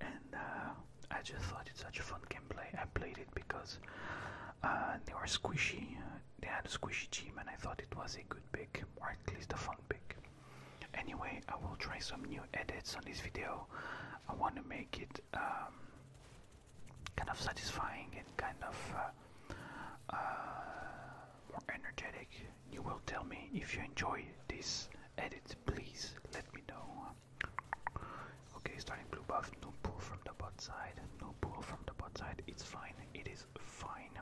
and uh, I just thought it's such a fun gameplay. I played it because uh, they were squishy. Uh, they had a squishy team, and I thought it was a good pick, or at least a fun pick. Anyway, I will try some new edits on this video. I want to make it um, kind of satisfying and kind of more energetic you will tell me if you enjoy this edit, please let me know. Okay, starting blue buff, no pull from the bot side, no pull from the bot side, it's fine, it is fine.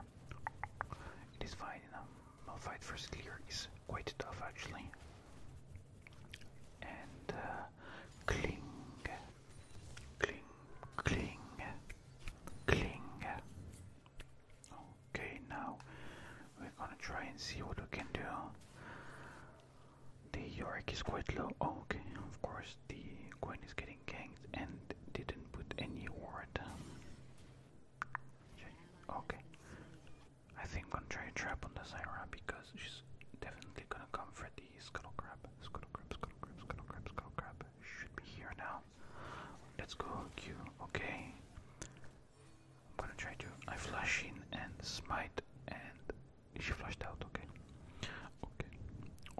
It is fine, um, fight for clear is quite tough actually. And uh, cling, cling, cling, cling, Okay, now we're gonna try and see what we can do. The Yorick is quite low. Oh, okay, of course, the queen is getting ganked and didn't put any ward. Okay, I think I'm gonna try a trap on the Zyra because she's definitely gonna come for the scuttle crab. Scuttle crab, scuttle crab, scuttle crab, scuttle crab. Should be here now. Let's go, Q. Okay. I'm gonna try to. I flash in and smite, and she flashed out. Okay. Okay.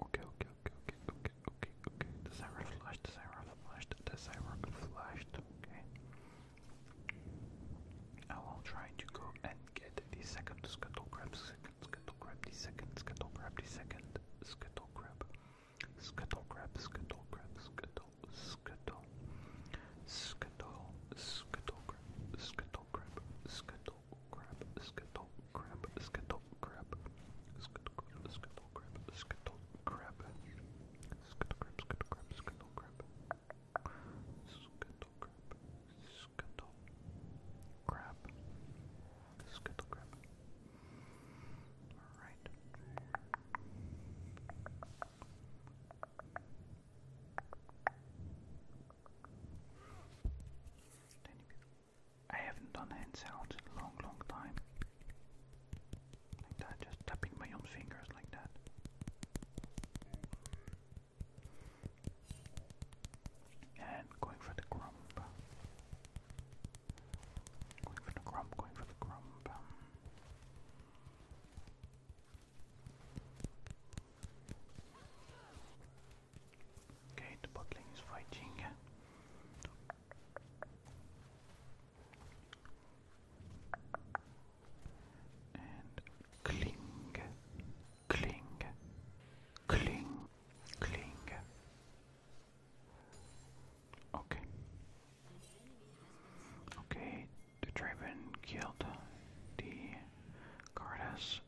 Okay. Okay. Okay. Okay. Okay. Okay. Okay. Desire flashed. Desire flashed. Desire flashed. Okay. I will try to go and get the second scuttle grab. Second scuttle grab. The second scuttle grab. The second scuttle grab. The second, scuttle grab. Scuttle crab, scuttle crab, scuttle, scuttle, scuttle, scuttle crab, scuttle crab, scuttle crab, scuttle crab, scuttle crab, scuttle crab, scuttle crab, scuttle crab, scuttle crab, scuttle crab, scuttle crab, scuttle crab, scuttle crab, scuttle crab. All right. I haven't done hand sounds in a long, long time. Like that, just tapping my own fingers like that. And going for the grump. Going for the grump, going for the grump. Um. Okay, the bot is fighting. And cling, cling, cling, cling. Okay. Okay, the Draven killed the Gardas.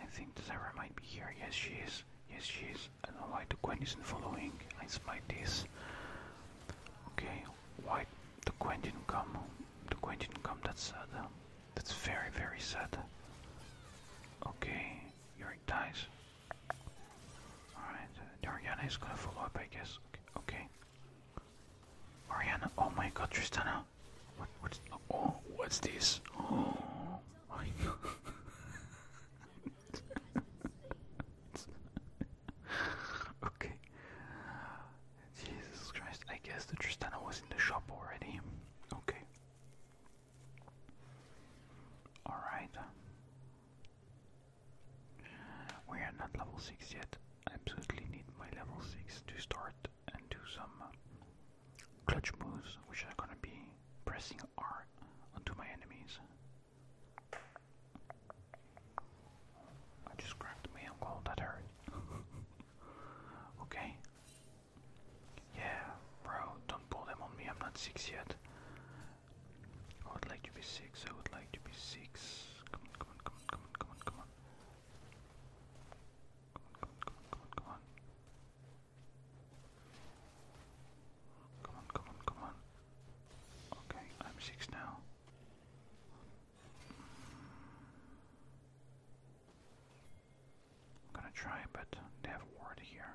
I think the Zara might be here. Yes, she is. Yes, she is. I don't know why the Gwen isn't following. I smite this. Okay, why the queen didn't come? The queen didn't come. That's sad. That's very, very sad. Okay, you dies. Alright, uh, Ariana is gonna follow up, I guess. Okay. okay. Ariana, oh my god, Tristana! What, what's, oh, what's this? Oh my god. okay. Jesus Christ, I guess the Tristana was in the shop already. Okay. Alright. We are not level 6 yet. I absolutely need my level 6 to start and do some uh, clutch moves, which are gonna be pressing R onto my enemies. I just grabbed my alcohol, that hurt. okay. Yeah, bro, don't pull them on me, I'm not 6 yet. I would like to be six. I would like to be six. Come on, come on, come on, come on, come on, come on. Come on, come on, come on, come on, come on. Come on, come on, come on. Okay, I'm six now. I'm gonna try, but they have a ward here.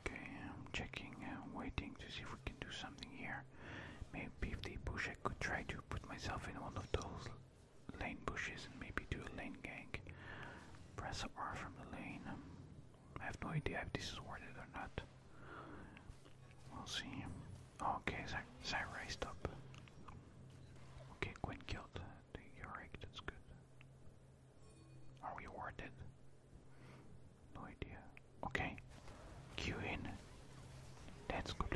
Okay, I'm checking and waiting to see if we can do something here. Maybe if they push, I could try to put myself in one of those lane bushes and maybe do a lane gank. Press R from the lane. Um, I have no idea if this is worth it or not. We'll see. Okay, Zy raised up. Okay, Quinn killed the Yorick, that's good. Are we awarded? No idea. Okay. Q in. That's good.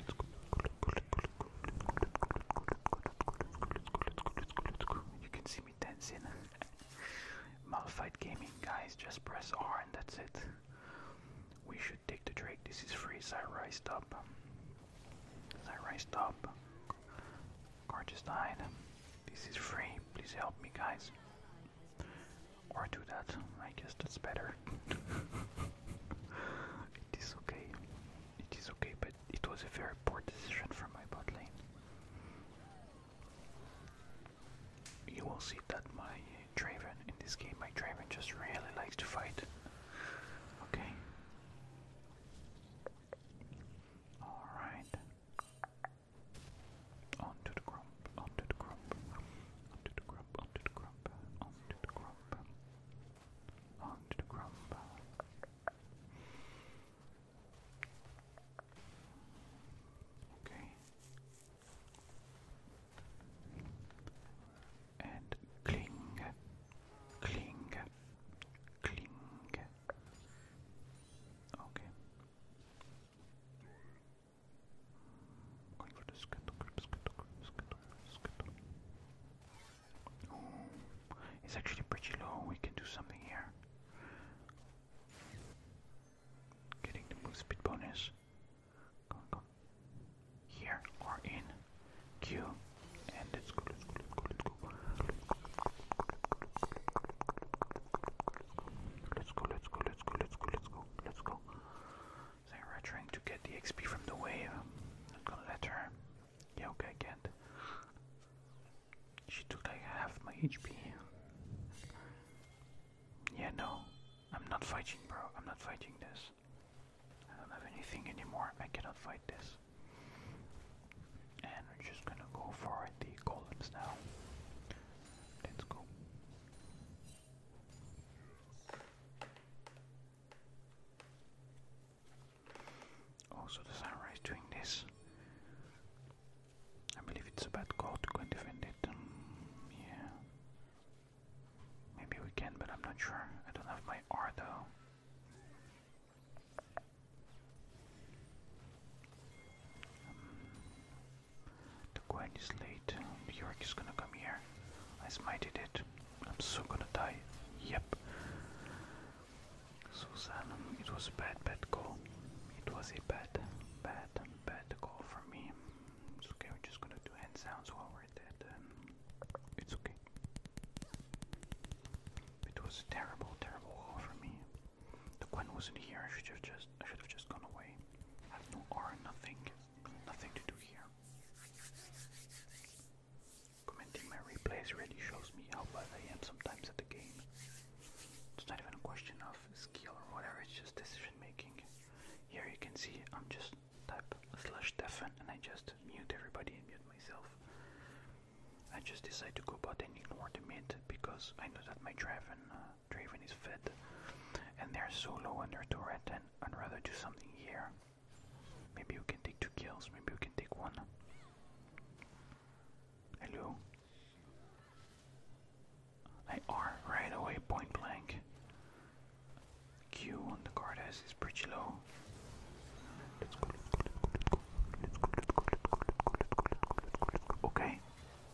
Let's go. You can see me dancing. Malphite Gaming, guys, just press R and that's it. We should take the Drake. This is free. Zyrai, stop. Zyrai, stop. Gorgeous died. This is free, please help me, guys. Or do that, I guess that's better. it is okay, it is okay, but it was a very poor decision from my bot lane. You will see that my Draven, in this game, my Draven just really likes to fight. Okay. Alright. Onto the grump, onto the grump, onto the grump, onto the grump, onto the grump, onto the grump. Okay. And cling, cling, cling. Okay. Going for the skittle grip, skittle grip, skittle grip, skittle. Ooh, it's actually pretty low. We can do something here. Getting the move speed bonus. Go, go. Here or in Q. And let's go, let's go, let's go, let's go. Let's go, let's go, let's go, let's go, let's go, let's go. Zara trying to get the XP from the wave. Uh, not gonna let her. Yeah, okay, I can't. She took like half my HP. Yeah, no. I'm not fighting, bro. I'm not fighting this. I don't have anything anymore. I cannot fight this. And we're just gonna go for the golems now. Let's go. Also, the Samurai doing this. I believe it's a bad call to go and defend it. Um, yeah. Maybe we can, but I'm not sure. I don't have my R though. The Gwen is late. The is gonna come here. I smited it. I'm so gonna die. Yep. Susan, it was a bad, bad call. It was a bad, bad, bad call for me. It's okay, we're just gonna do hand sounds while we're dead. it's okay. It was terrible, terrible call for me. The Gwen wasn't here. I should have just I should have just gone away. I have no R, nothing, nothing to do here. Commenting my replays really shows me how bad I am sometimes at the game. It's not even a question of skill or whatever, it's just decision making. Here you can see I'm just type slash deafen and I just mute everybody and mute myself. I just decide to go about and ignore the mid because I know that my Draven uh, Draven is fed, and they're so low on their turret, and I'd rather do something here. Maybe you can take two kills, maybe you can take one. Hello? I right away, point blank. Q on the Gardas is pretty low. let's go. Okay,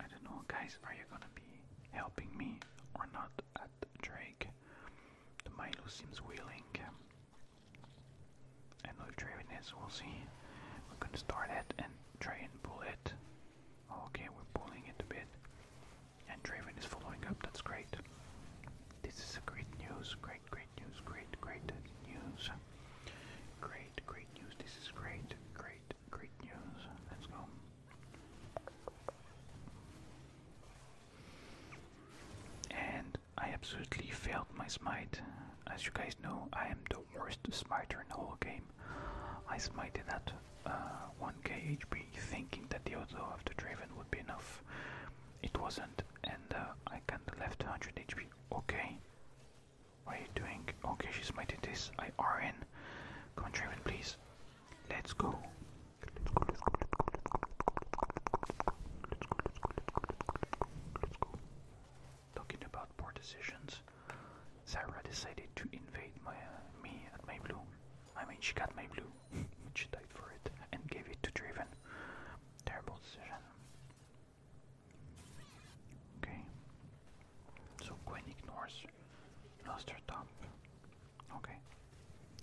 I don't know, guys, are you gonna be helping me or not at Drake? The Milo seems willing. And Draven is, we'll see. We're gonna start it and try and pull it. Okay, we're pulling it a bit. And Draven is following up, that's great. This is great news, great, great news, great, great news. Great, great news, this is great, great great, news. Let's go. And I absolutely failed my smite. As you guys know, I am the worst smiter in the whole game. I smited at uh, 1k HP thinking that the auto of the Draven would be enough. It wasn't, and uh, I kinda left 100 HP. Okay, what are you doing? Okay, she's mighty this. I are in. Come on, Draven, please. Let's go. Let's go, let's go, let's go, let's go. Talking about poor decisions. Sarah decided to invade my uh, me at my blue. I mean, she got my blue, she died for it, and gave it to Draven. Terrible decision. Okay. So Gwen ignores. Lost top. Okay.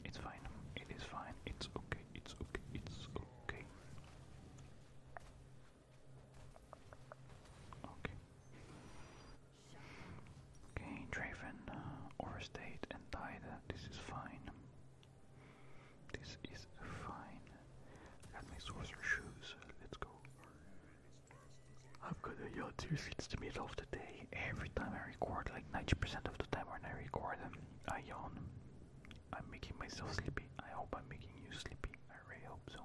It's fine. It is fine. It's okay. It's okay. It's okay. Okay. Okay, Draven uh, overstayed and died. This is fine. This is fine. got my sorcerer shoes. Let's go. I'm gonna yell tear sheets to middle of the day. Every time I record, like 90% of the time when I record them, I yawn. I'm making myself sleepy. I hope I'm making you sleepy. I really hope so.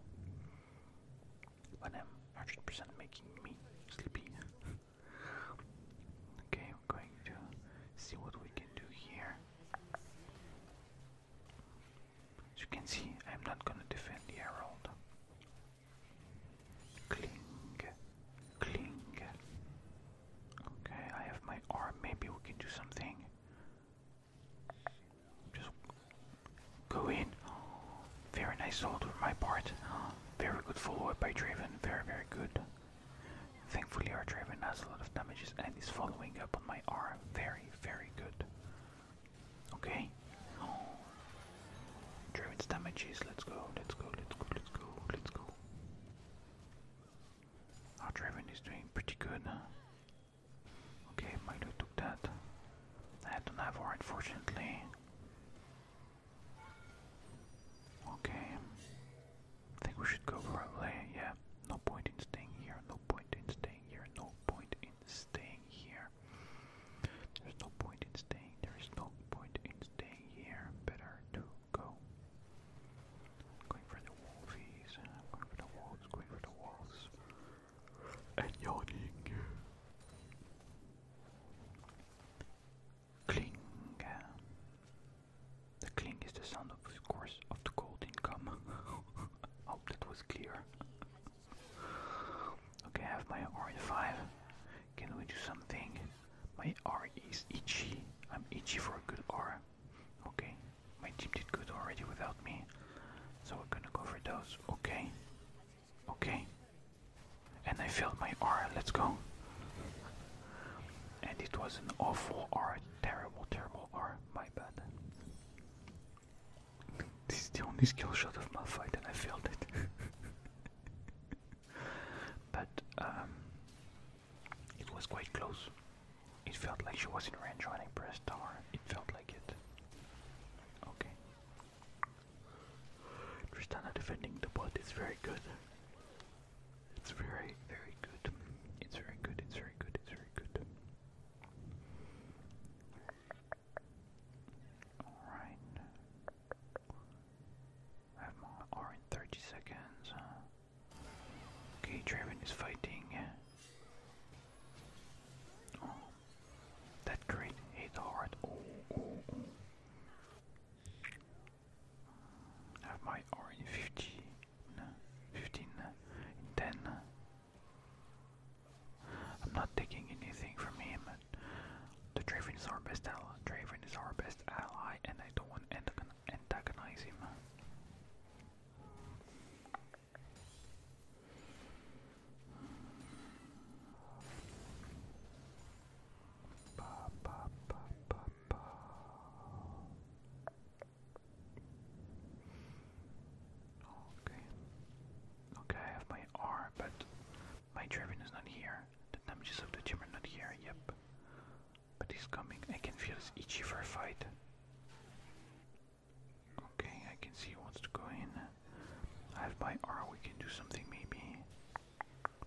I'm 100% making me sleepy. okay, I'm going to see what we can do here. As you can see, I'm not gonna defend the Herald. Cling, cling. Okay, I have my arm. Maybe we can do something. Just go in. Very nice hold on my part. Very good follow up by Draven. Very, very good. Thankfully, our Draven has a lot of damages and is following up on my arm. Very, very good. Okay. Oh. Draven's damages. Let's go. Let's go. Let's go. Let's go. Let's go. Our Draven is doing pretty good. Okay, Milo took that. I don't have her, unfortunately. Okay. I think we should go probably. Yeah. No point in staying here. No point in staying here. No point in staying here. There's no point in staying. There is no point in staying here. Better to go. I'm going for the wolfies. I'm going for the wolves. Going for the wolves. And yawning. Cling. The clink is the sound, of, of course, of the gold income. Hope that was clear. Okay, I have my R5. Can we do something? My R is itchy. I'm itchy for a good R. Okay, my team did good already without me. So we're gonna go for those. Okay. Okay. And I failed my R. Let's go. And it was an awful R. Terrible, terrible R. My bad. This is the only skill shot of my fight, and I failed it. but um, it was quite close. It felt like she was in range when I pressed R. It felt like it. Okay. Tristana defending the bot is very good. It's very, very good. It's very good, it's very good, it's very good. Alright. have more or in 30 seconds. Okay, Draven is fighting. Oh, that great hit hard. Oh, oh, oh. have my R in 50, 15, 10, I'm not taking anything from him. The Draven is our best ally. Draven is our best ally, and I don't want to antagonize him. Okay. Okay, I have my R, but my Draven is not here. The damages of the team are not here, yep. But he's coming. I can feel his itchy for a fight. Okay, I can see he wants to go in. I have my R, we can do something maybe.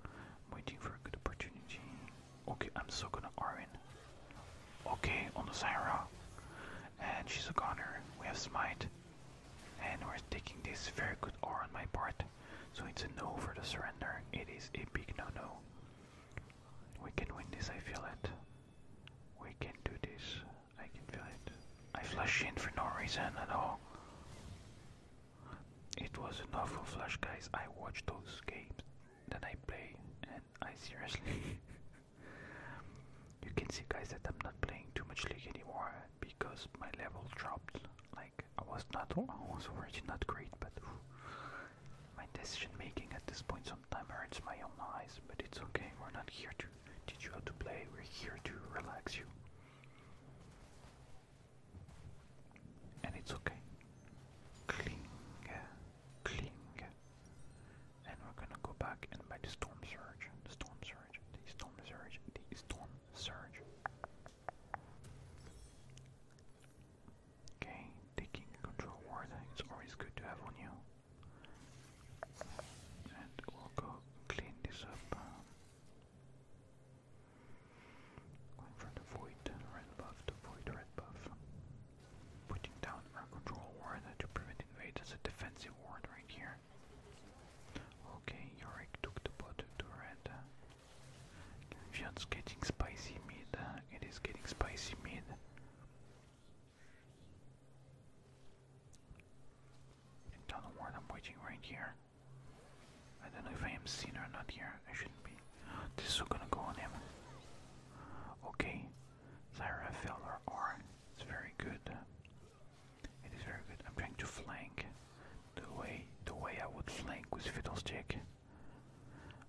I'm waiting for a good opportunity. Okay, I'm so gonna R in. Okay, on the Zyra and she's a goner. We have smite, and we're taking this very good or on my part, so it's a no for the surrender. It is a big no-no. We can win this. I feel it. We can do this. I can feel it. I flush in for no reason at all. It was an awful flash, guys. I watch those games that I play, and I seriously. you can see guys that I'm not playing too much League anymore because my level dropped. Like I was not, I was already not great, but my decision making at this point sometimes hurts my own eyes. But it's okay. We're not here to teach you how to play. We're here to relax you, and it's okay. Kling, kling, and we're gonna go back and buy the storm surge, the storm surge, the storm surge, the storm surge. Okay, taking control ward is always good to have on you. And we'll go clean this up. Um, going for the void, red buff, the void, red buff. Putting down our control ward to prevent invade as a defensive ward right here. Okay, Yorick took the bot to red. Fusion's getting spicy mid. It is getting spicy mid. I don't know what I'm waiting right here. I don't know if I am seen or not here. I shouldn't be. This is gonna go on him. Okay, Zyra R. It's very good. It is very good. I'm trying to flank. The way the way I would flank with Fiddlestick.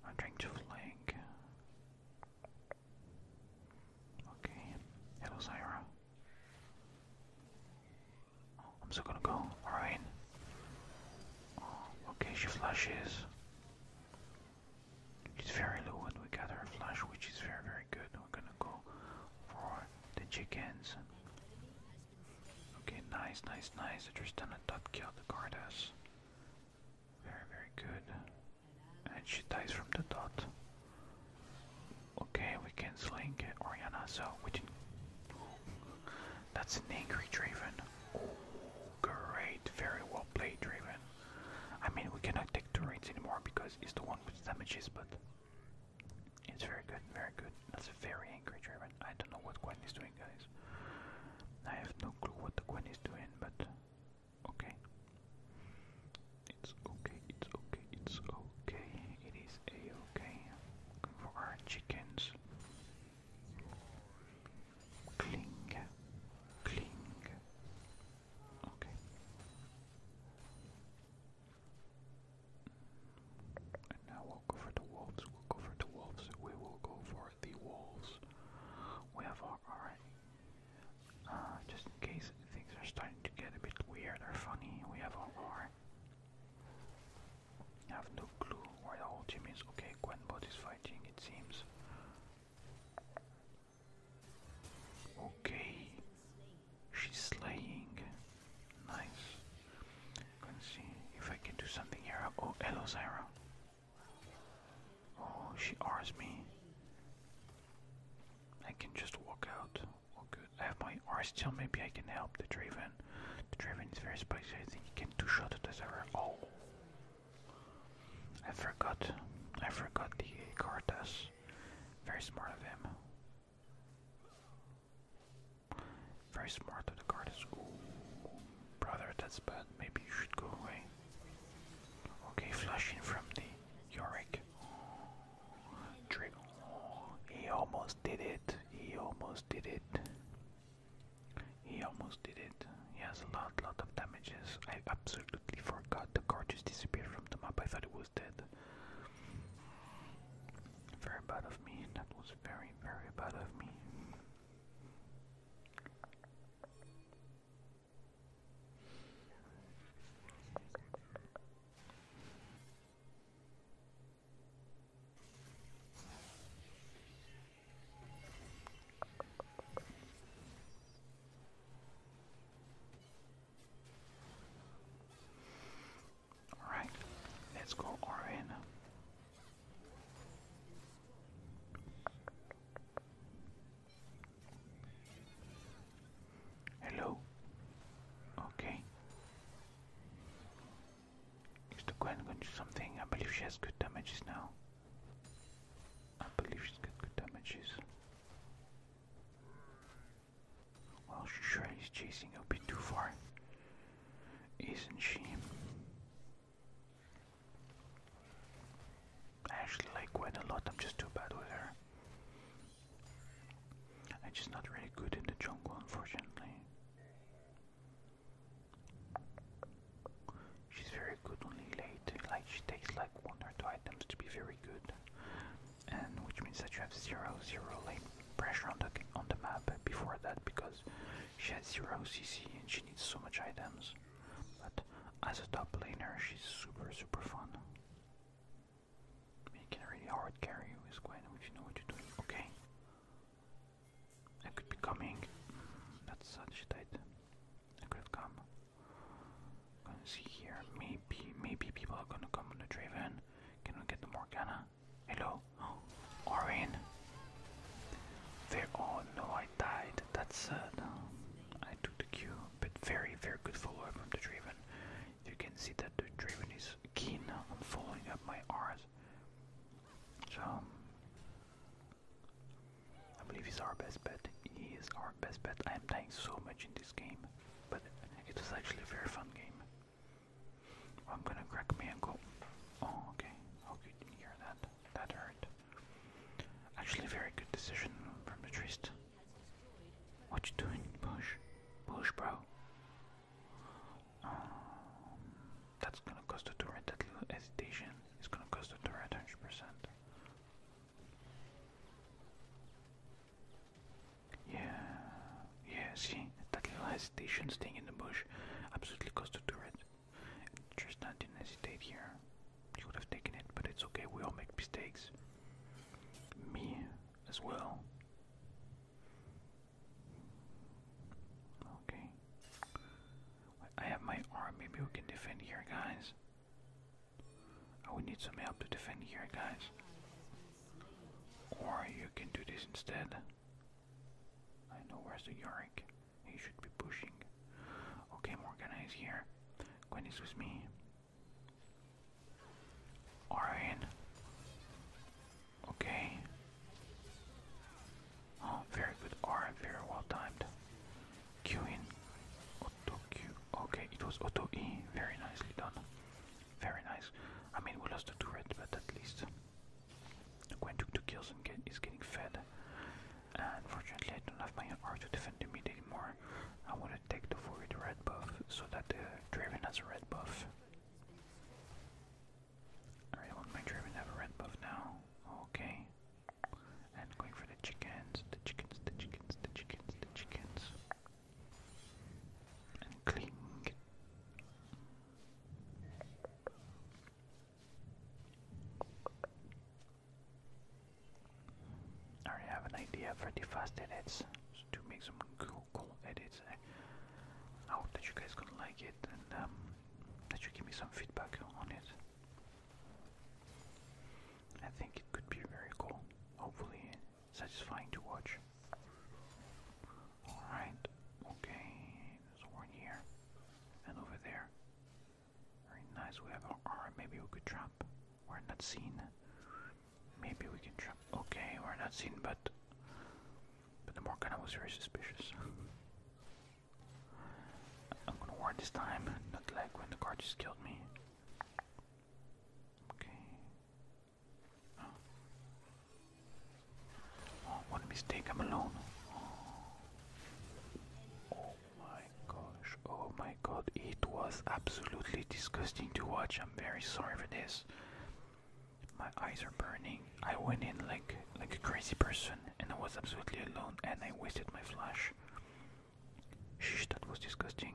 I'm trying to flank. Okay. Hello Zyra. I'm still gonna go. Alright. okay, she flashes. It's very low and we got our flash which is very very good. We're gonna go for the chickens. Okay, nice, nice, nice. I just done a top kill the Gardas. Very very good. And she dies from the dot. Okay, we can sling Oriana, so we didn't that's an angry Draven. Oh, great. Very well played, Draven. I mean, we cannot take two turrets anymore because it's the one damages, but it's very good, very good. That's a very angry dragon. I don't know what Gwen is doing, guys. I have no clue what the Gwen is doing, but okay. It's okay, it's okay, it's okay. It is a-okay. for our chickens. Cling, cling, Okay. And now we'll go for the wolves. We'll go for the wolves. We will go for the wolves. We have our alright. Uh, just in case things are starting to get a bit weird or funny, we have our have no clue where the whole team is. Okay, Gwenbot is fighting, it seems. Okay, she's slaying. Nice. let see if I can do something here. Oh, hello, Zyra. Oh, she R's me. I can just walk out. Oh, I have my R still. Maybe I can help the Draven. The Draven is very spicy. I think he can two shot the Zyra. Oh, I forgot. I forgot the Cartas. Very smart of him. Very smart of the guard is Ooh. Brother, that's bad. Maybe you should go away. Okay, flashing from the Yorick. Trigger. he almost did it. He almost did it. He almost did it. He has a lot, lot of damages. I absolutely forgot the guard just disappeared from the map. I thought it was dead. Very bad of me. That was very, very bad of me. Alright, let's go Orin. Hello. Okay. Is the Gwen going to do something? I believe she has good damages now. I believe she's got good damages. Well, sure, he's chasing a bit too far, isn't she? I actually like Gwen a lot, I'm just too bad with her. I'm just not really good in the jungle, unfortunately. She's very good only late, like she takes like one or two items to be very good and which means that you have zero zero lane pressure on the on the map before that because she has zero CC and she needs so much items. But as a top laner, she's super super fun. You can really hard carry with Gwen if you know what you're doing. Okay, I could be coming. That's such tight. I could come. Gonna see here. Maybe, maybe people are gonna come on the Draven. Can we get the Morgana? Hello? Oh, Orin. There. Oh no, I died. That's sad. Um, I took the Q, but very, very good follow up from the Draven. You can see that the Draven is keen on following up my R's. So, I believe he's our best bet. He is our best bet. I am dying so much in this game but was actually a very fun game. I'm gonna crack my ankle. Oh, okay. Hope you didn't hear that. That hurt. Actually, very good decision from the What you doing? Push. Push, bro. Um, that's gonna cost the turret. That little hesitation is gonna cost the turret 100%. Yeah, yeah, see, that little hesitation staying in the bush absolutely cost the turret. Tristan didn't hesitate here. He would have taken it, but it's okay, we all make mistakes. Me as well. Okay. I have my arm, maybe we can defend here, guys. I would need some help to defend here, guys. Or you can do this instead. I know where's the Yorick. He should be pushing. Okay, Morgana is here. Gwen is with me. Orion. Okay. Oh, very good. Aura, very well timed. Q Auto Q. Okay, it was auto E. Very nicely done. Very nice. I mean, we lost the turret, but at least Gwen took two kills and get, is getting fed. And fortunately, I don't have my art to defend the mid anymore. I want to take the forward red buff so that the Draven has a red buff. I want my Draven to have a red buff now. Okay. And going for the chickens, the chickens, the chickens, the chickens, the chickens. I already have an idea for the fast edits to make some cool, edits. I hope that you guys gonna like it and um, that you give me some feedback on it. I think it could be very cool. Hopefully, satisfying to watch. Alright, okay, there's one here and over there. Very nice, we have our Maybe we could trap. We're not seen. Maybe we can trap. Okay, we're not seen, but. But the Morgana was very suspicious. I'm gonna ward this time, not like when the card killed me. Okay. Oh. oh mistake, I'm alone. Oh. oh. my gosh, oh my god, it was absolutely disgusting to watch. I'm very sorry for this. My eyes are burning. I went in like like a crazy person and I was absolutely alone and I wasted my flash. Shh, that was disgusting.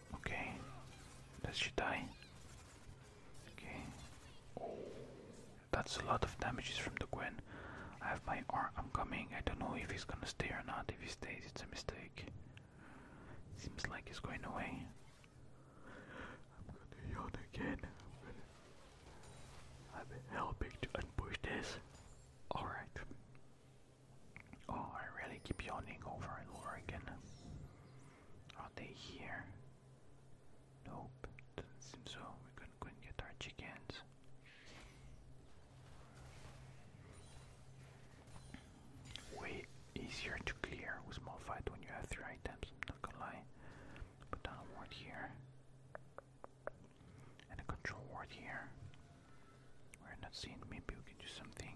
Okay. Does she die? Okay. Oh, that's a lot of damages from the Gwen. I have my arm. I'm coming. I don't know if he's gonna stay or not. If he stays, it's a mistake. Seems like he's going away. I'm gonna yawn again. I'm have been helping to unpush this. Alright. Oh, I really keep yawning over and over again. Are they here? Nope, doesn't seem so. We're gonna go and get our chickens. Way easier to clear with small fight when you have three items, not gonna lie. Put down a ward here. And a control ward here. We're not seen, maybe we can do something.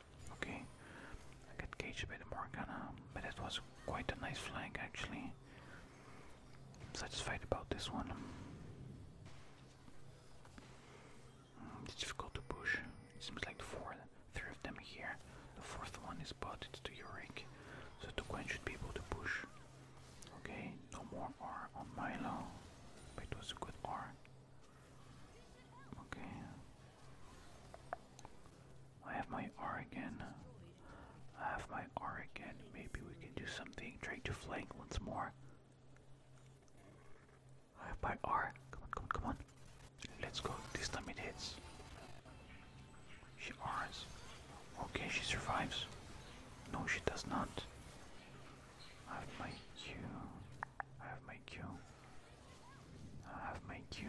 Okay, I got caged by the Morgana, but it was quite a nice flank actually. I'm satisfied about this one. Hmm, it's difficult to push. It seems like the four, three of them here. The fourth one is botted to Yurik, so Tukwen should be able to push. Okay, no more R on Milo. But it was a good R. Okay, I have my R again. I have my R again. Maybe we can do something. Try to flank once more. I have my R. Come on, come on, come on. Let's go. This time it hits. She R's. Okay, she survives. No, she does not. I have my Q. I have my Q. I have my Q.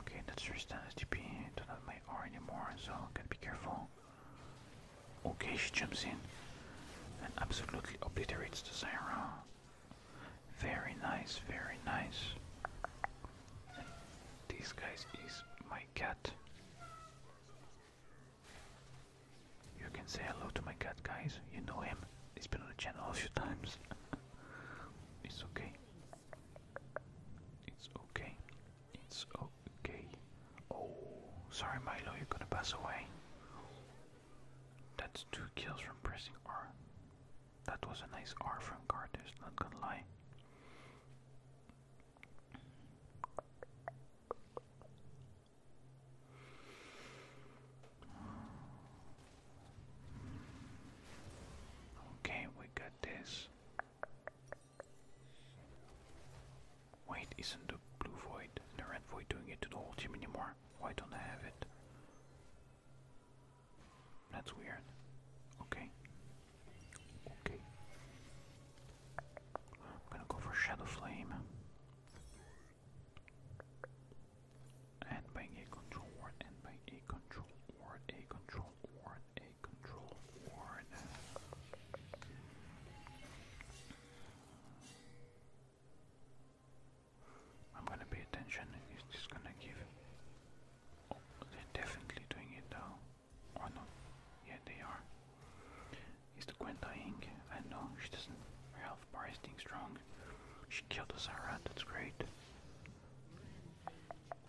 Okay, that's your standard don't my R anymore, so be careful. Okay, she jumps in and absolutely obliterates the Zyra. Very nice, very nice. these guys is my cat. You can say hello to my cat, guys. You know him. He's been on the channel a few times. It's okay. It's okay. It's okay. Oh, sorry, Milo, you're gonna pass away. That's two kills from pressing R. That was a nice R from Carter's, not gonna lie. Okay, we got this. Wait, isn't the blue void, the red void doing it to the whole team anymore? Why don't I have it? That's weird. Okay. Okay. I'm gonna go for Shadow Flame and by a control word, and by a control word, a control word, a control word. I'm gonna pay attention. It's just gonna give. Oh, they're definitely doing it though, or not? Yeah, they are. Is the Gwen dying? I know she doesn't. Well, enough. strong. She killed a Zarat, that's great.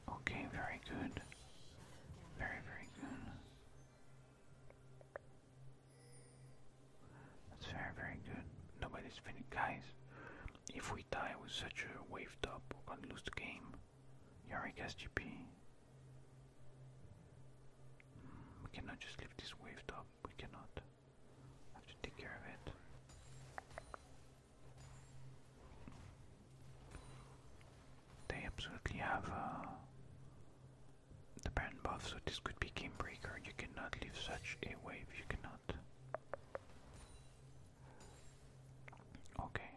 Okay, very good. Very, very good. That's very, very good. Nobody's finished. Guys, if we die with such a wave top, we're gonna lose the game. Yarick SGP. Hmm, we cannot just leave this waved up. We cannot. I have to take care of it. They absolutely have uh, the Baron buff, so this could be Game Breaker. You cannot leave such a wave, you cannot. Okay.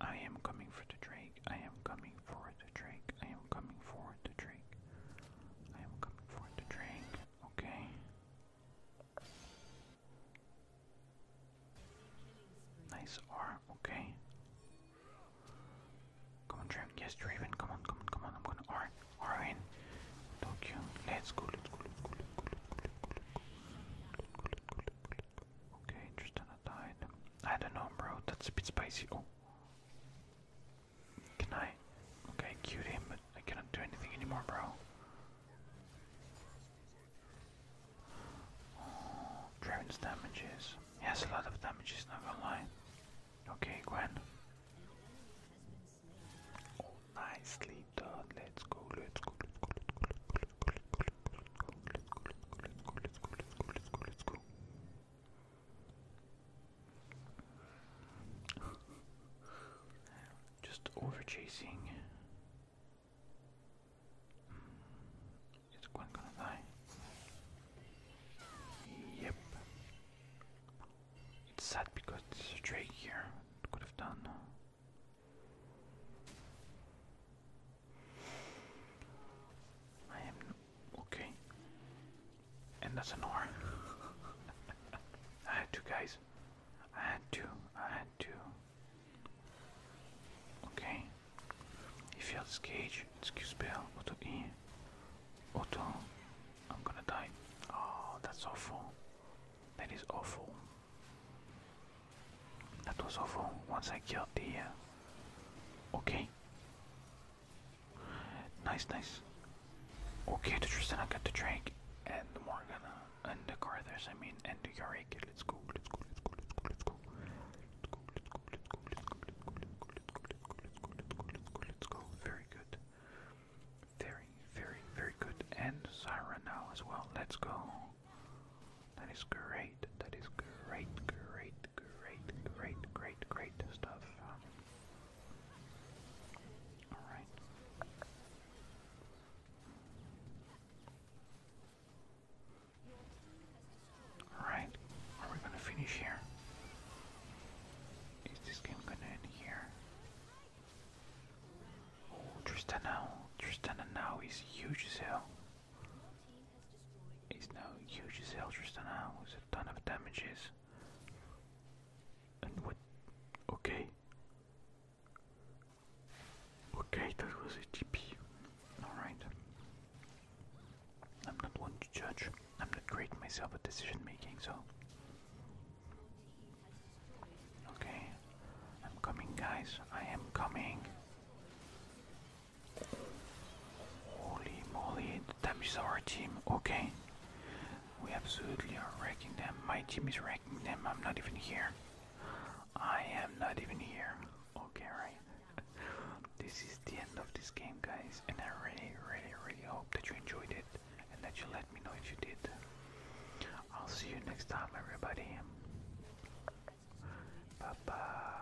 I am coming for the Drake, I am coming for the Drake, I am coming for the Drake. I am coming for the Drake, okay. Nice R, okay. Come on, Draven. Yes, Draven. Come on, come on, come on. I'm gonna R. R in. Tokyo. Let's go, let's go, let's go, let's go, let's go, let's go. Let's go, let's go, let's go. Okay, Tristana died. I don't know, bro. That's a bit spicy. Oh. Can I? Okay, cued him, but I cannot do anything anymore, bro. Oh, Draven's damages. He has a lot of damages, not gonna lie. Okay, Gwen. Oh, nicely done. Let's go, let's go, let's go, let's go, let's go, let's go, let's go, let's go, let's go, let's go, let's go, let's go, let's go, let's go, let's go. Just over chasing. Is gonna die? Yep. It's sad because there's a Drake here. Could have done. I am okay. And that's an R. I had two guys. I had to. I had to. Okay. He failed his cage. Excuse spell. Auto E. Auto. I'm gonna die. Oh, that's awful. That is awful. That was awful. Once I killed the. Uh, okay. Nice, nice. Okay, the Tristan, I got the drink, and the Morgana, and the Carthus, I mean, and the Yorick. Let's go, let's go, let's go, let's go, let's go. Let's go, let's go, let's go, let's go, let's go, let's go, let's go, let's go, let's go, let's go, Very good. Very, very, very good. And Syra now as well. Let's go. That is great. That is great, great, great, great, great, great stuff. All right. Alright, are we gonna finish here? Is this game gonna end here? Oh, Tristana. Tristana now is huge as hell. He's now huge as hell, Tristana, with a ton of damages. And what? Okay. Okay, that was a GP. Alright. I'm not one to judge. I'm not great myself at decision making, so. Okay. I'm coming, guys. I am coming. Holy moly, that is our team. Okay. We absolutely are wrecking them. My team is wrecking them. I'm not even here. I am not even here. Okay, right. this is the end of this game, guys, and I really, really, really hope that you enjoyed it and that you let me know if you did. I'll see you next time, everybody. Bye bye.